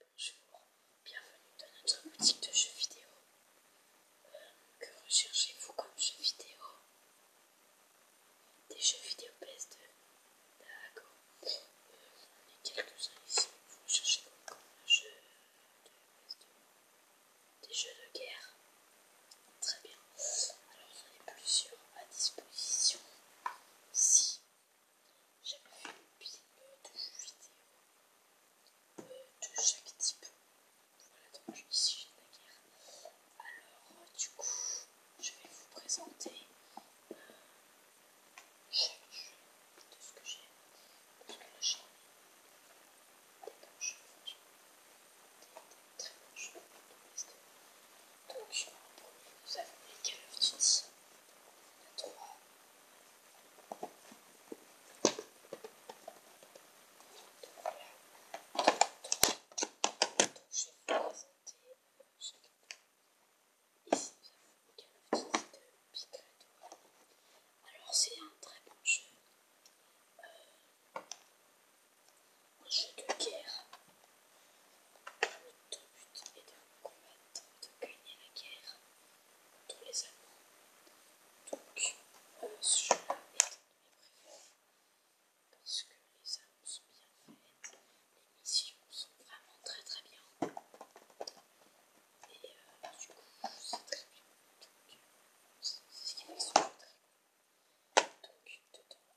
bonjour, bienvenue dans notre boutique de jeux vidéo. Que recherchez-vous comme jeux vidéo Des jeux vidéo PS2 D'accord. Euh, on a quelques-uns ici. Vous recherchez comme de Des jeux de guerre Très bien. Alors, il y en plusieurs à disposition ici. J'aime les films de jeux vidéo euh, de chaque type. Voilà, donc ici j'ai la guerre. Alors, du coup, je vais vous présenter euh, chaque jeu de ce que j'ai. Parce que là j'ai des bons jeux, franchement. Des, des très bons jeux. Donc, donc, je nous avons les Call of Duty, le 3, donc là, 3, donc je vais vous présenter Ici, nous avons les Call of de Big Alors, c'est un très bon jeu. Euh, un jeu de guerre. le but est de combattre, de gagner la guerre contre les Allemands. Donc, je euh, ce jeu est un de mes préférés parce que les armes sont bien faites, les missions sont vraiment très très bien. Et euh, bah, du coup, c'est très bien. Euh, c'est ce qui fait que très bien. Donc, dedans,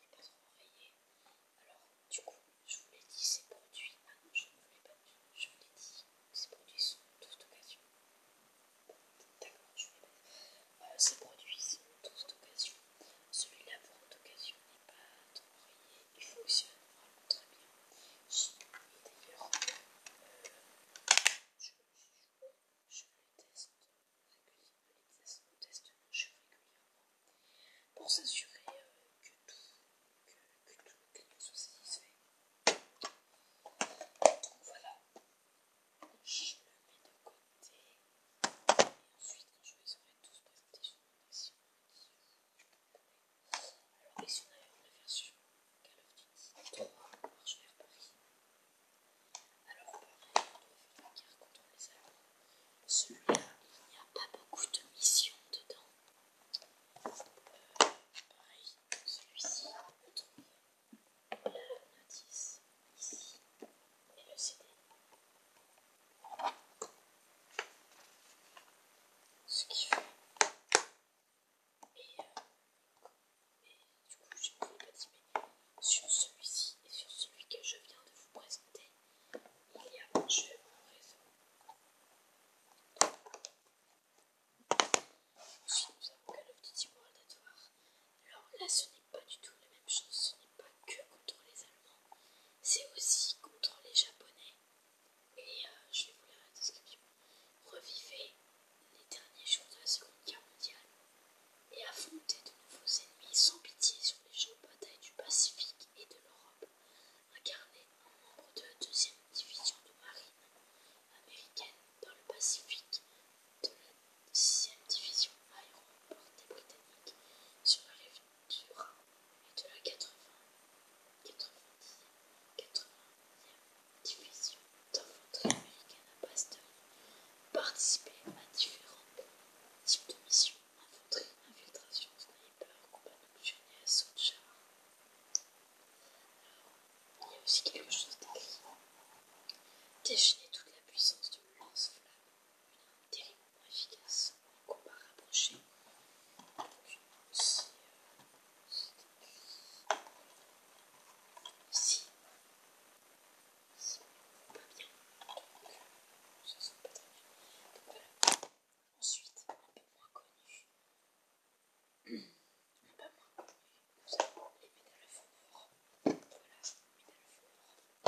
n'est pas rayé, Alors, du coup, je vous l'ai dit, ces produits. Ah non, je ne vous l'ai pas dit. Je vous l'ai dit, ces produits sont tous d'occasion. d'accord, je vous l'ai pas dit. Euh, ces produits sont tous d'occasion. Celui-là, pour d'occasion, n'est pas trop rayé, Il fonctionne vraiment très bien. Et d'ailleurs, euh, je le teste régulièrement, les tests de cheveux régulièrement pour s'assurer euh, que tout, que, tout le client soit satisfait. voilà, je le mets de côté et ensuite quand je les aurai tous présentés je sur mon action, alors ici on a la version Call of Duty 3 marche vers Paris. Alors, pareil, on ne veut contre les a. Celui-là, il n'y a pas beaucoup de missions dedans. pareil, euh, celui-ci, on trouver la notice ici et le CD. Ce qui fait. Euh, et du coup, j'ai pris pas sur celui-ci et sur celui que je viens de vous présenter. Il y a un jeu en réseau. Ensuite, nous avons Call of Duty World at Alors là, ce n'est pas du tout la même chose. Ce n'est pas que contre les Allemands, c'est aussi contre les Japonais. Et je vais vous la description. Revivez les derniers jours de la Seconde Guerre mondiale et affronter de nouveaux ennemis sans pitié sur les champs de bataille du Pacifique et de l'Europe, incarné en membre de la deuxième division de marine américaine dans le Pacifique de la sixième division aéroportée britannique sur la rive du et de la 80, 90, division d'infanterie américaine à base de Participer à différents types de missions infanterie, infiltration, sniper, combat nocturne et assaut de char. il y a aussi quelque chose d'écrit. Déchaîner toute la puissance de lance-flamme, une arme terriblement efficace, un combat rapproché. Ici, euh, sont pas bien. ça se sent pas très bien. Donc voilà. Ensuite, un peu moins connu. Un peu moins connu. Nous avons les médailles de Fondor. Voilà, les médailles de Fondor.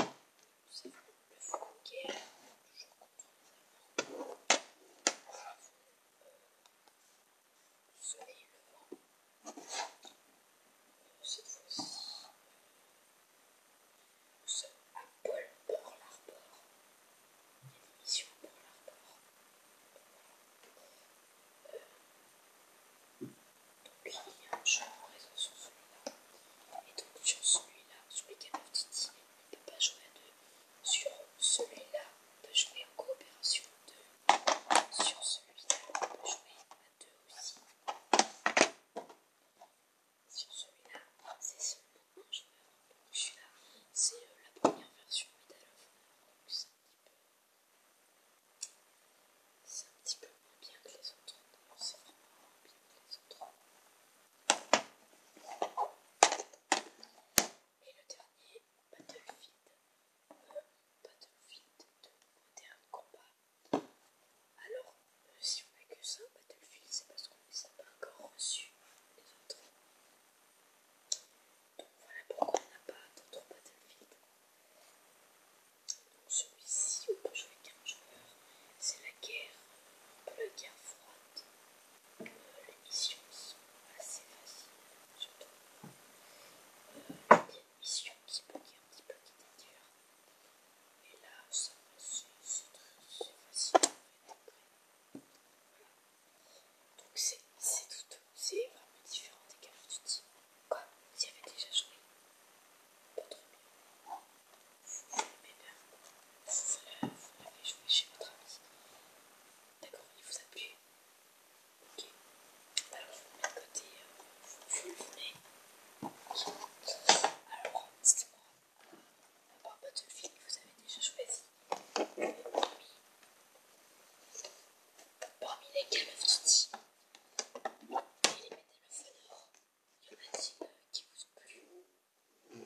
Nous avons le Foucault. Toujours content de les Nous avons soleil levant. Cette fois-ci, nous sommes à Paul pour l'Arbor. Il y a des missions pour l'Arbor. donc il y a un jeu en raison sur celui-là. Et donc sur celui-là, sur les Game of on ne peut pas jouer à deux. Sur celui-là, on peut jouer en coopération de sur celui-là, on peut jouer à deux aussi. Sur celui-là, c'est seulement un joueur. vais avoir celui là, c'est euh, la première version Medal of Donc c'est un, un petit peu moins bien que les autres. C'est vraiment moins bien que les autres. Et le dernier, Battlefield. Battlefield, de vide combat. Alors, euh, si on n'a que ça, Battlefield, c'est parce qu'on ne les a pas encore reçus, les autres. Donc voilà pourquoi on n'a pas d'autres Battlefield. Donc celui-ci, on peut jouer un joueur. C'est la guerre, un peu la guerre froide les missions sont assez faciles, surtout a une missions qui être un petit peu, qui Et là, ça c'est facile Donc c'est tout, c'est vraiment différent des Call Quoi Vous y avez déjà joué Pas trop bien. Vous Vous l'avez joué chez votre ami. D'accord, il vous a plu Ok. Alors, vous mettez à côté le mettez. Alors, dites-moi, à part votre film que vous avez déjà choisi, parmi, lesquels les Call of et les il y en a t qui vous plu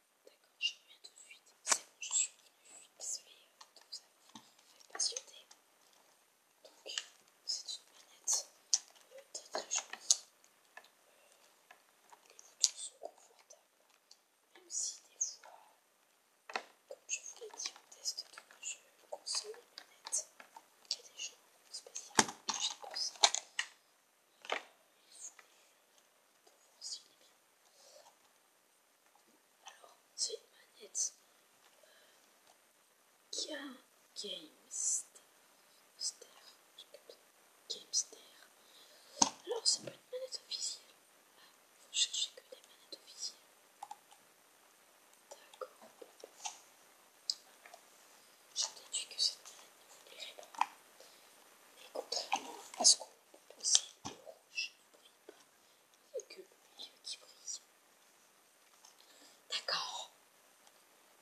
D'accord, je reviens tout de suite. C'est bon, je suis revenue. Désolée, donc ça m'a Donc, c'est une manette très très jolie. Les boutons sont confortables, même si des fois, comme je vous l'ai dit, on teste tout le vous console une manette, Il y a des gens spécialement touchés pour ça. les jeux pour voir bien. Alors, c'est une manette qui a GameStar. Alors, c'est pas une manette officielle. Ah, faut chercher que des manettes officielles. D'accord. Je déduis que cette manette ne vous plairait pas. Mais contrairement à ce qu'on peut proposait je ne brille pas, il n'y a que le milieu qui brille. D'accord.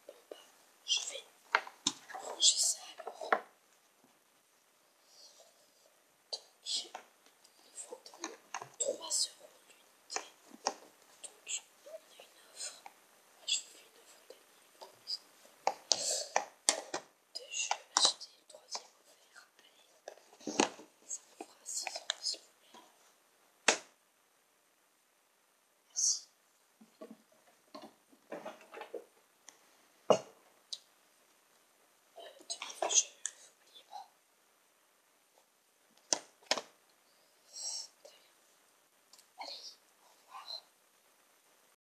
Bon, bah, je vais ranger ça alors. Donc, il faut 3 euros d'unité. Donc, on a une offre. Moi, je vous fais une offre d'année, promise deux jeux achetés, le troisième offert. Allez, ça me fera six euros s'il vous plaît. Merci. Euh, jeux, Allez, au revoir.